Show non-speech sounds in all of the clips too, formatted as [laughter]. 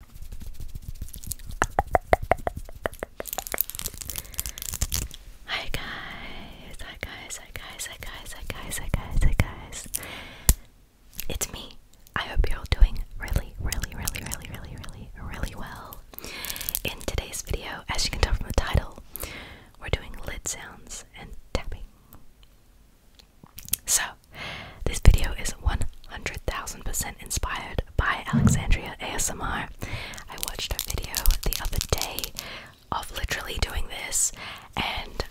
Hi guys, hi guys, hi guys, hi guys, hi guys, hi guys, hi guys. It's me. I hope you're all doing really, really, really, really, really, really, really well. In today's video, as you can tell from the title, we're doing lid sounds and tapping. So, this video is 100,000% inspired by Alexandria ASMR. I watched a video the other day of literally doing this and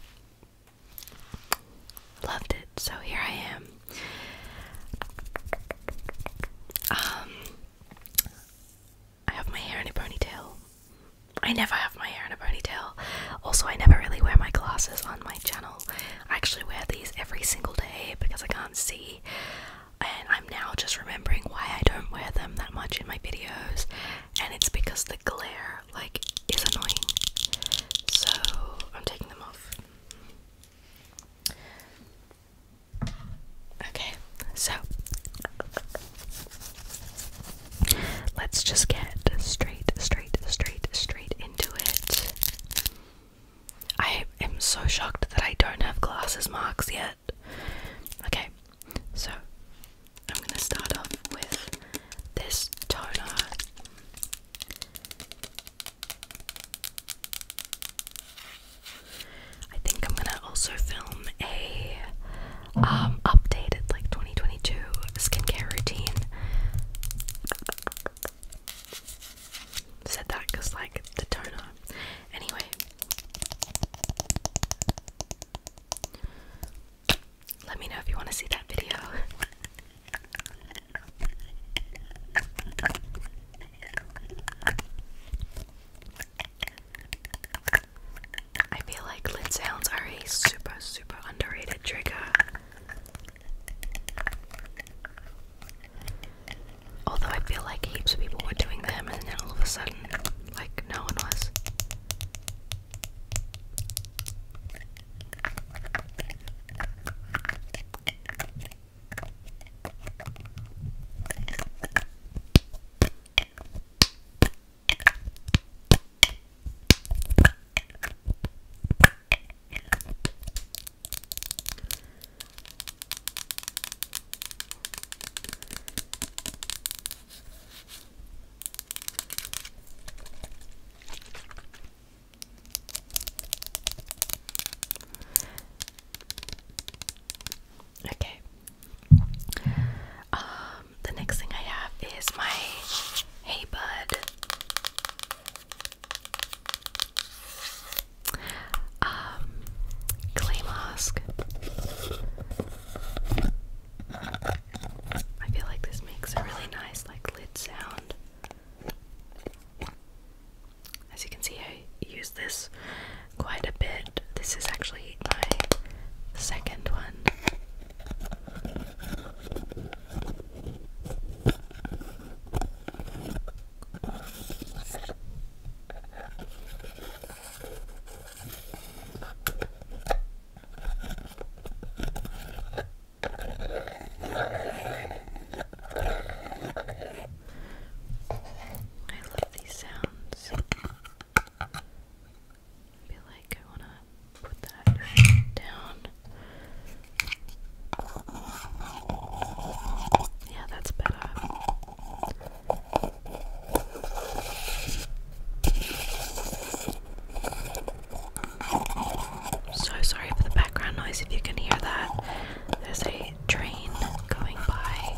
loved it. So here I am. Um I have my hair in a ponytail. I never have my hair in a ponytail. Also, I never really wear my glasses on my channel. I actually wear these every single day because I can't see, and I'm now just remembering why I don't wear them that much in my videos, and it's because the glare like is annoying. So I'm taking them off. Okay, so let's just get straight, straight, straight, straight into it. I am so shocked that I don't have glasses marks yet. Okay, so I'm gonna start off with this toner. I think I'm gonna also film a um, updated like 2022 skincare routine. Said that because, like, the toner. Anyway. Let me know if you want to see that video. I feel like lid sounds are a super, super underrated trigger Although I feel like heaps of people were doing them, and then all of a sudden, like, no one was. Okay. Um, the next thing I have is my Hey Bud um, clay mask. I feel like this makes a really nice, like, lid sound. As you can see, I use this quite a bit. This is actually my second one. I love these sounds. feel like I want to put that down. Yeah, that's better. So sorry for the background noise if you can hear that. There's a train going by.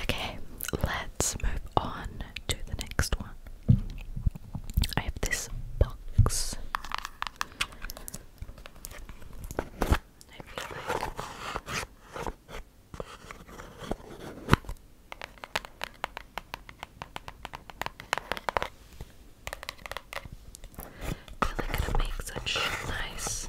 Okay, let's move on to the next one. I have this box. I feel like I make such nice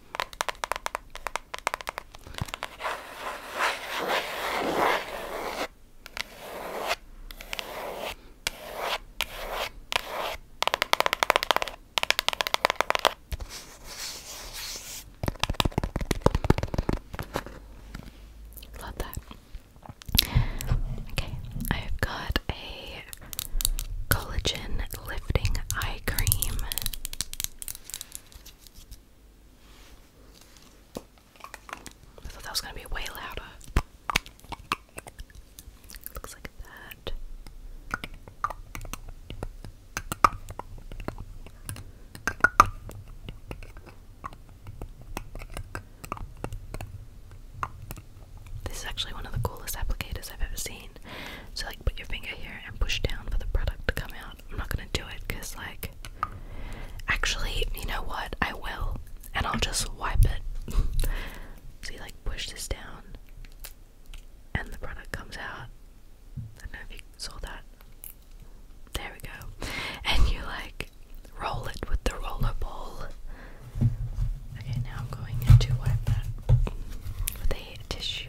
Love that. Okay, I've got a collagen lip Lifting Cream. I thought that was going to be way louder. Looks like that. This is actually one of the coolest applicators I've ever seen. So like put your finger here and push down for the product to come out. I'm not gonna do it because like actually, you know what? I will. And I'll just wipe it. so [laughs] you like push this down and the product comes out. I don't know if you saw that. There we go. And you like roll it with the roller ball. Okay, now I'm going to wipe that with a tissue.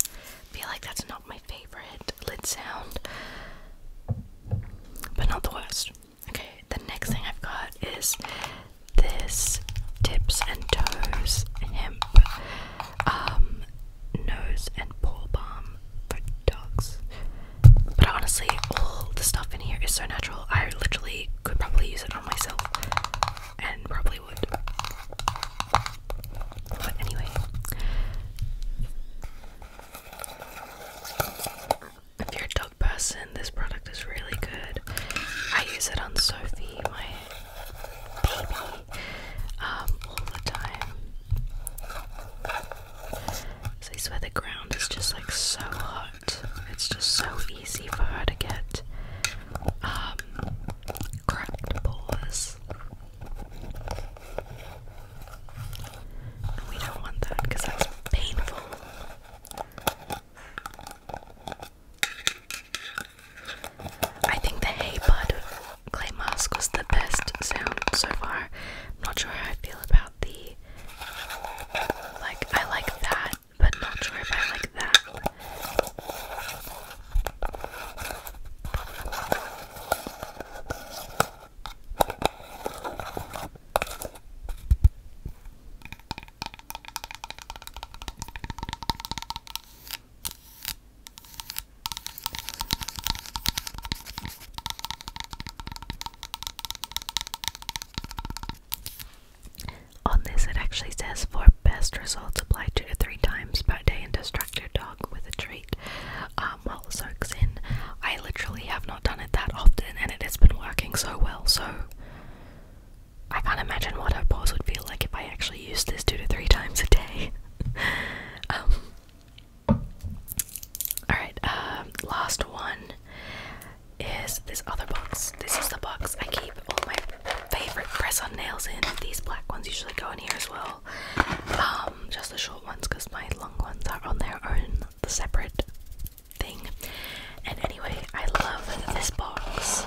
I feel like that's not my favorite lid sound, but not the worst. Okay, the next thing I've got is this tips and toes hemp um, nose and paw balm for dogs. But honestly, all the stuff in here is so natural. I literally could probably use it on myself and probably would. But anyway if you're a dog person, this product is really good. I use it on Sophie, my baby, um, all the time. So I swear the ground is just like so hot. It's just so easy for her to get um, cracked paws. we don't want that because that's painful. I think the Hey Bud clay mask was the best sound so far. I'm not sure how I feel about the like I like that, but not sure if I like that. On this, it actually says for best results, apply two to three times per day and distract your dog with a treat um, while it soaks in. I literally have done it that often and it has been working so well, so I can't imagine what her pores would feel like if I actually used this two to three times a day. [laughs] Um, alright, uh, last one is this other box. This is the box I keep all my favorite press on nails in. These black ones usually go in here as well. Um, just the short ones because my long ones are on their own, the separate thing. And anyway, I love this box.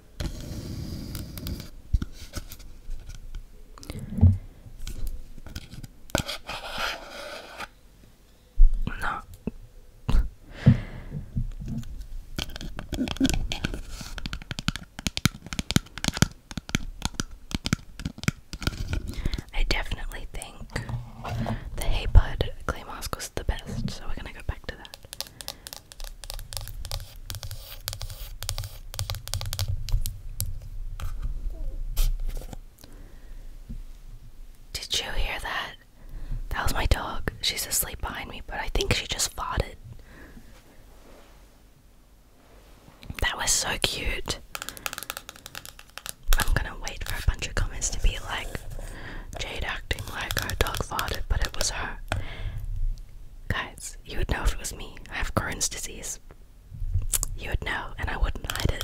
No. I definitely think the Hey Clay Mask was the best, so we're gonna go back to that. Did you hear that? That was my dog. She's asleep behind me, but I think she just farted. That was so cute. I'm gonna wait for a bunch of comments to be like Jade acting like our dog farted, but it was her. Guys, you would know if it was me. I have Crohn's disease. You would know, and I wouldn't hide it.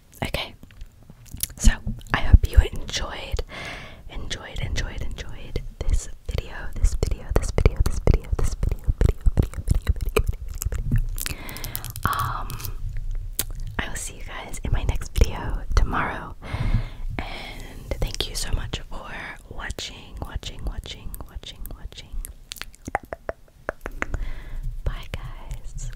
Okay, so I hope you enjoyed, enjoyed, enjoyed, enjoyed this video, this video, this video, this video, this video, video, video, video, video, video, video. Um, I will see you guys in my next video tomorrow, and thank you so much for watching, watching, watching, watching, watching. Bye, guys.